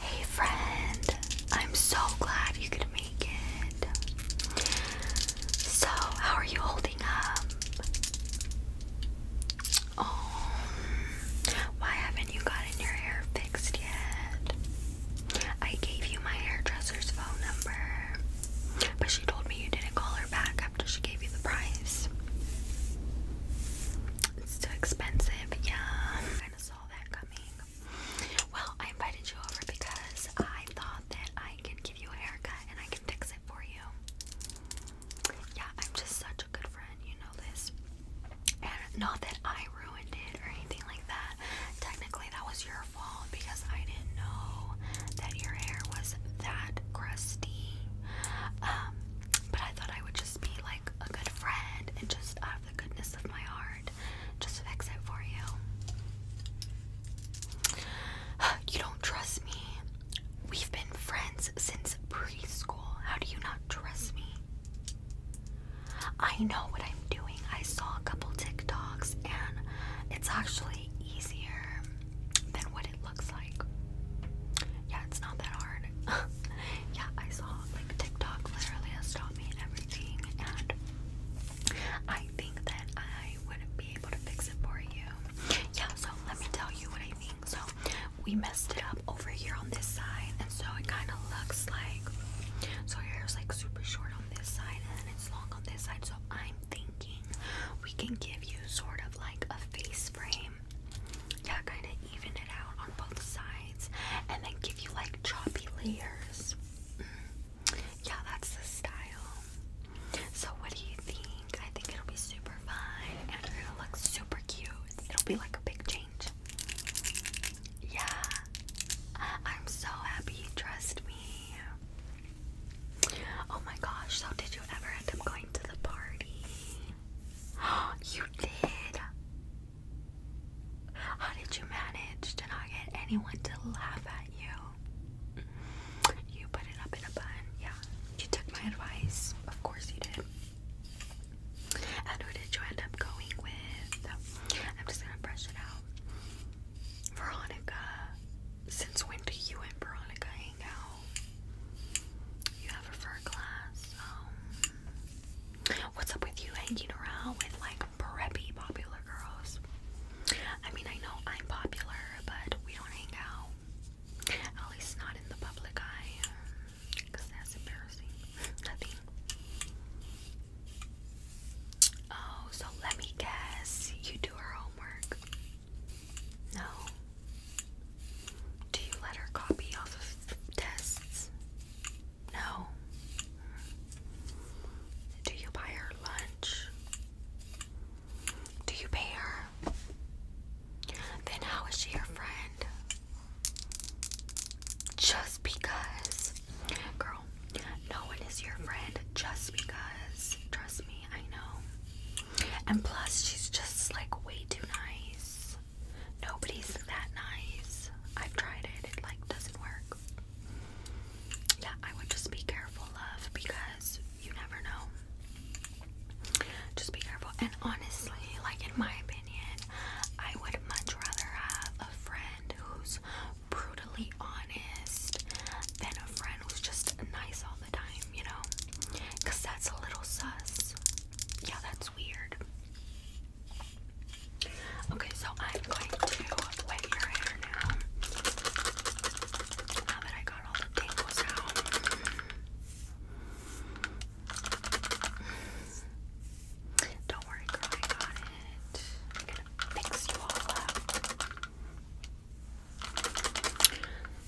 Hey friend, I'm so glad you could make it. So, how are you holding up? Oh, why haven't you gotten your hair fixed yet? I gave you my hairdresser's phone number, but she told me you didn't call her back after she gave you the price. It's too expensive, yeah. Well, I invited you over because I thought that I could give you a haircut and I can fix it for you. Yeah, I'm just such a good friend, you know this. And not that I ruined it or anything like that. Technically, that was your fault because I didn't know that your hair was that crusty. Um, but I thought I would just be like a good friend and just uh, the goodness of my heart just fix for you. You don't trust me. We've been friends since preschool. How do you not trust me? I know what I'm doing. I saw a couple TikToks and it's actually easier than what it looks like. Yeah, it's not that hard. yeah, I saw like TikTok literally a everything, and I think that I would be able to fix it for you. Yeah, so let me tell you what I think. So, we messed it up over here on this side, and so it kind of looks like so your is like super short on this side, and it's long on this side. So, I'm thinking we can give you sort of like a face frame, yeah, kind of even it out on both sides and then give you like choppy layers. Mm-hmm. Yeah, that's the style. So, what do you think? I think it'll be super fun and it'll look super cute. It'll be like a big change. Yeah, I'm so happy you trust me. Oh my gosh, so did you ever end up going to the party? You did. How did you manage to not get anyone to laugh at you? You put it up in a bun. Yeah, you took my advice. Of course you did. And who did you end up going with? I'm just gonna brush it out. Veronica. Since when do you and Veronica hang out? You have her for class. Um, What's up with you hanging around with like preppy popular girls? I mean, I know I'm popular, but we don't hang out. At least not in the public eye. Because that's embarrassing. Nothing. Oh, so let me guess. You do her homework? No. Do you let her copy off of tests? No. Do you buy her lunch? Do you pay her? Then how is she your friend? Just because. Girl, no one is your friend just because. Trust me, I know. And plus, she's just like way too nice. Nobody's that nice. I've tried it, it like doesn't work. Yeah, I would just be careful, love, because you never know. Just be careful. And honestly, like in my opinion, I would much rather have a friend who's brutally honest than a friend who's just nice all the time, you know? Because that's a little sus. Yeah, that's weird. Okay, so I'm going to wet your hair now. Now that I got all the tangles out. Don't worry, I got it. I'm gonna fix you all up.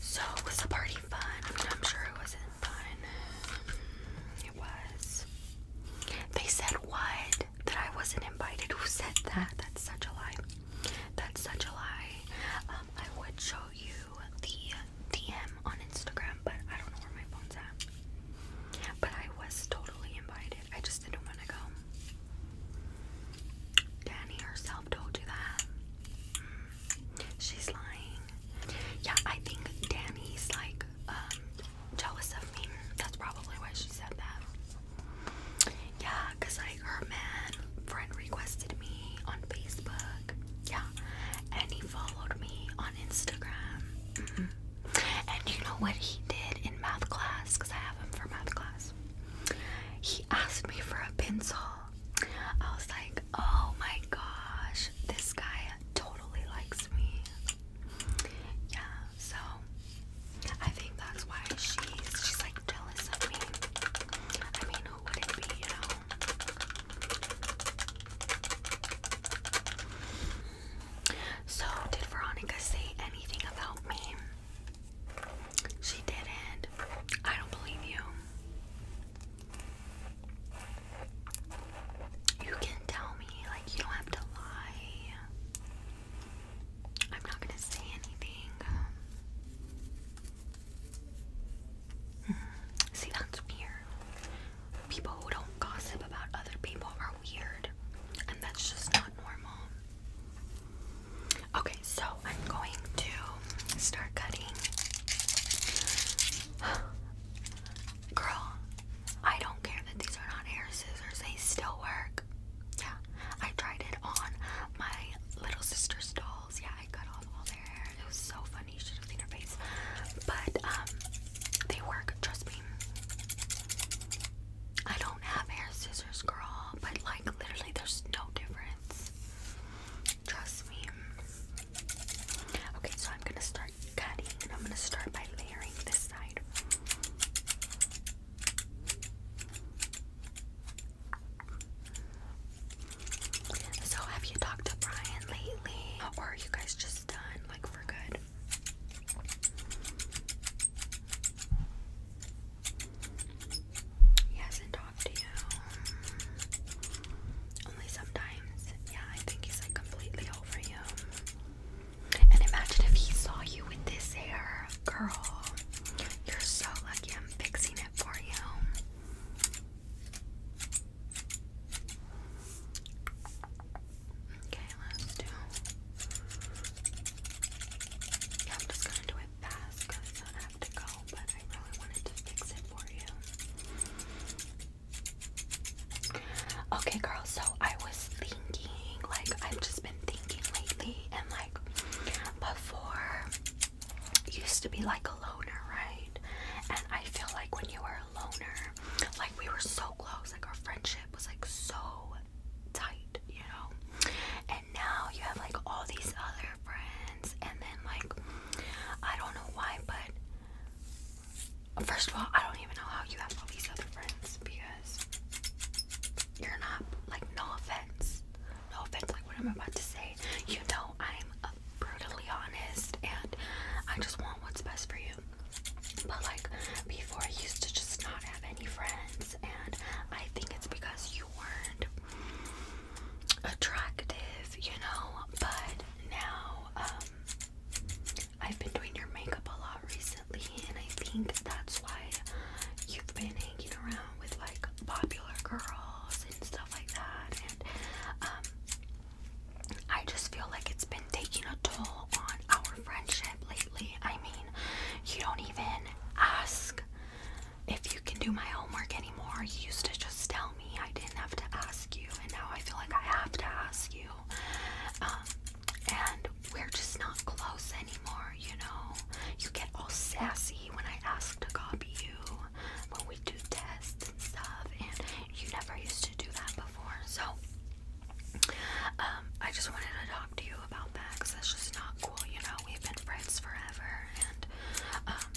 So was the party fun? I mean, I'm sure it wasn't fun was. They said what? That I wasn't invited. Who said that? That's such a lie. That's such a lie. Um, I would show you the DM on Instagram, but I don't know where my phone's at. But I was totally invited. I just didn't want to go. Danny herself told you that. Mm. she's lying. Yeah, I think Danny's like um, jealous of me. That's probably why she said that. Yeah, cause like her man friend requested me on Facebook. Yeah, and he followed me on Instagram. Mm-hmm. And you know what he did in math class? Cause I have him for math class. He asked me for a pencil. I was like, oh my gosh, this guy totally likes me. Yeah, so I think that's why she's she's like jealous of me. I mean, who would it be, you know? So did Veronica say anything about me? She didn't. I don't believe you. You can tell me, like, you don't have to lie. I'm not gonna say anything. Hmm, see, that's weird. People who don't gossip about other people are weird, and that's just not normal. Okay, so I'm going to start cutting. Girl, I don't care that these are not hair scissors, they still work. Yeah, I tried it on my little sister's dolls. Yeah, I cut off all their hair. It was so funny. You should have seen her face. But, um, they work, trust me. I don't have hair scissors, girl, but like literally, there's no difference. Trust me. Okay, so I'm gonna start start I'm going to start by layering this side. So have you talked to Brian lately? Or are you guys just done like for good? He hasn't talked to you. Only sometimes. Yeah, I think he's like completely over you. And imagine if he saw you with this hair. Girl, you're so lucky I'm fixing it for you. Okay, let's do. I'm just gonna do it fast because I have to go, but I really wanted to fix it for you. Okay, girls. so I was thinking, like, I've just been thinking lately, and like, before, used to be like a loner, right? And I feel like when you were a loner, like, we were so close, like, our friendship was like so tight, you know? And now you have like all these other friends, and then, like, I don't know why, but First of all, I don't even know how you have all these other friends because you're not like no offense, no offense. Like what I'm about to say, you know I'm brutally honest, and I just want what's best for you. But like before, I used to just not have any friends, and I think it's because you weren't attractive, you know. But now, um, I've been doing your makeup a lot recently, and I think that's why you've been hanging around with like popular girls and stuff like that. And um, I just feel like it's been taking a toll on our friendship lately. I mean, you don't even ask if you can do my homework anymore. You used to just tell me I didn't have to ask you, and now I feel like I have to ask you. Um, and we're just not close anymore, you know. You get all sassy when I ask to copy you when we do tests and stuff, and you never used to do that before. So, um, I just wanted to talk to you about that because that's just not cool, you know. We've been friends forever, and um,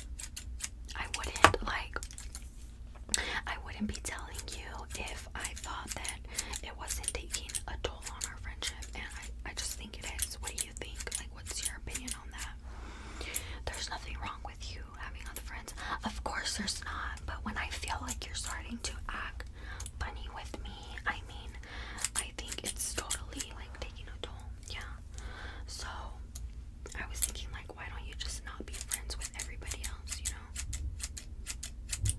I wouldn't like I wouldn't be telling you if I thought that it wasn't taking a toll on our friendship, and I, I just think it is. What do you think? Like, what's your opinion on that? There's nothing wrong with you having other friends. Of course, there's not, but when I feel like you're starting to act funny with me, I mean, I think it's totally like taking a toll, yeah. So, I was thinking, like, why don't you just not be friends with everybody else? you know? Mm,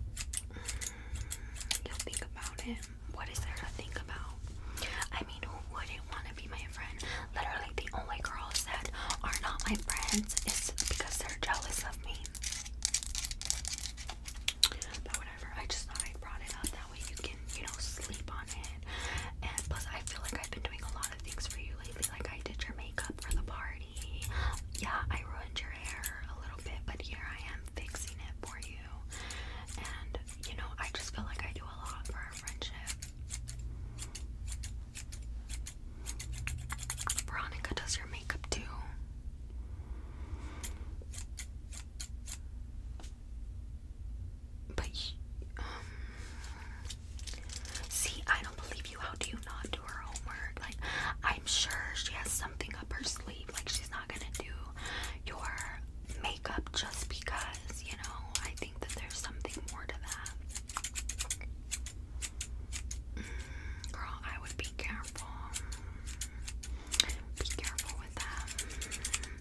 you'll think about it. What is there to think about? I mean, who wouldn't want to be my friend? Literally, the only girls that are not my friends is because they're jealous of me. But whatever, I just thought I brought it up. That way you can, you know, sleep on it. And plus, I feel like I've been doing a lot of things for you lately. Like, I did your makeup for the party. Yeah, I ruined your hair a little bit, but here I am fixing it for you. And you know, I just feel like I do a lot for our friendship. Veronica does your makeup too. But, um, see, I don't believe you. How do you not like, I'm sure she has something up her sleeve. Like, she's not gonna do your makeup just because, you know. I think that there's something more to that. Mm, girl, I would be careful. Be careful with that.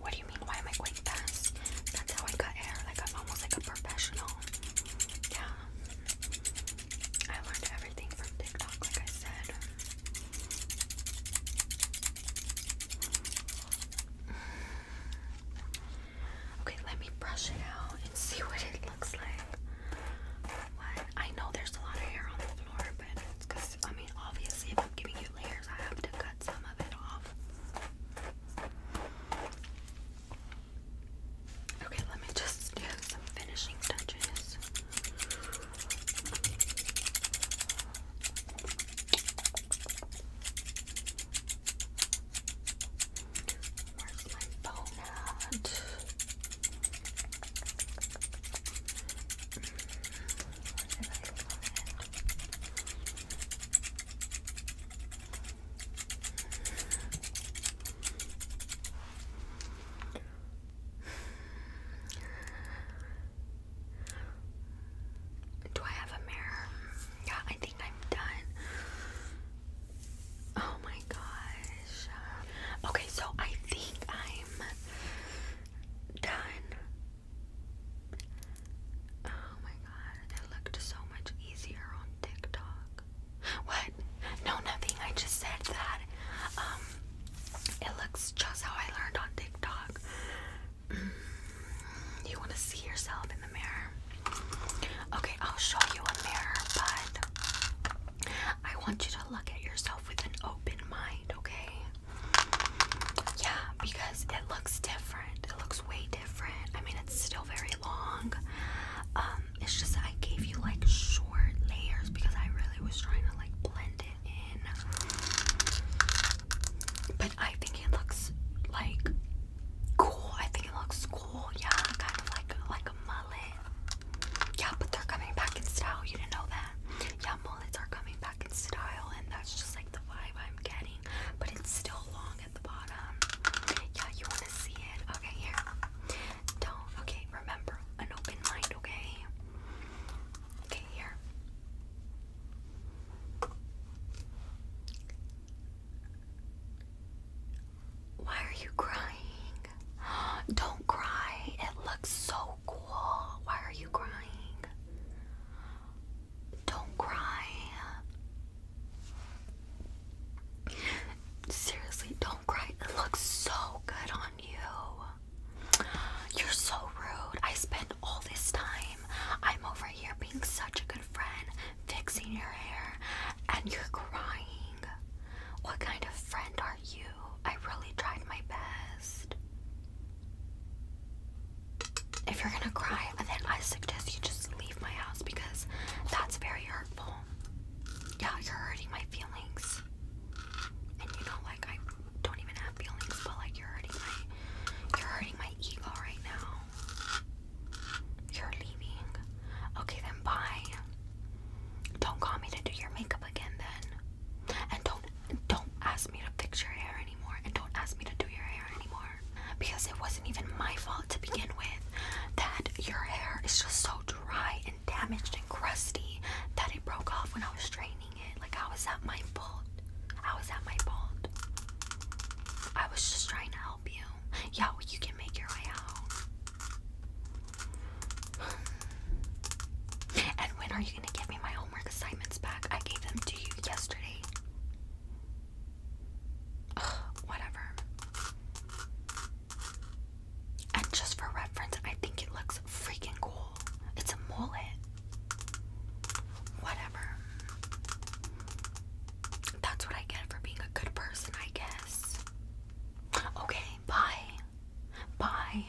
What do you mean? Why am I going fast? That's how I cut hair. Like I'm almost like a professional. Yeah. I learned everything from TikTok, like I said. Okay, let me brush it out and see what it looks like. I know there's a lot of hair on the floor, but I mean, obviously, if I'm giving you cute layers. I to cut some of it off. Okay, let me just do some finishing touches. Where's my phone at? Mm. Do I have a mirror? Yeah, I think I'm done. Oh my gosh. Okay, so I think I'm done. Oh my god, it looked so much easier on TikTok. What? No, nothing. I just said that. Um, it looks just how I learned on TikTok. Mm, you want to see yourself in the mirror? Okay, I'll show you a mirror, but I want you to look at yourself with an open mind, okay? Yeah, because it looks different. It looks way different. I mean, it's still very long. Um, it's just I gave you like short layers because I really was trying to like blend it in. But I think it looks like cool. I think it looks cool. Yeah, kind of like like a mullet. Yeah, but they're coming back in style. You didn't know that. Yeah, mullets are coming back style, and that's just like the vibe I'm getting. But it's still long at the bottom. Yeah, you want to see it? Okay, here. Don't. Okay, remember an open mind. Okay. Okay, here. Why are you crying? Don't cry. It looks so cool. Why are you crying? Don't cry. Seriously, don't cry. It looks so good on you. You're so rude. I spent all this time. I'm over here being such a good friend, fixing your hair, and you're crying. What kind of friend are you? I really tried my best. If you're gonna cry, then I suggest you just leave my house because that's very hurtful. Yeah, you're hurting my feelings. And you know, like I don't even have feelings, but like you're hurting my you're hurting my ego right now. You're leaving. Okay then bye. Don't call me to do your makeup again then. And don't don't don't ask me to fix your hair anymore and don't ask me to do your hair anymore because it wasn't even my fault to begin with that your hair is just so dry and damaged and crusty that it broke off when I was straightening it. Like how is that my fault? How is that my fault? I was just trying to help you. Yeah, well, you can make your way out. and when are you gonna give me my homework assignments back. I gave them to you yesterday. whatever. And just for reference, I think it looks freaking cool. It's a mullet. Whatever. That's what I get for being a good person, I guess. Okay, bye. Bye.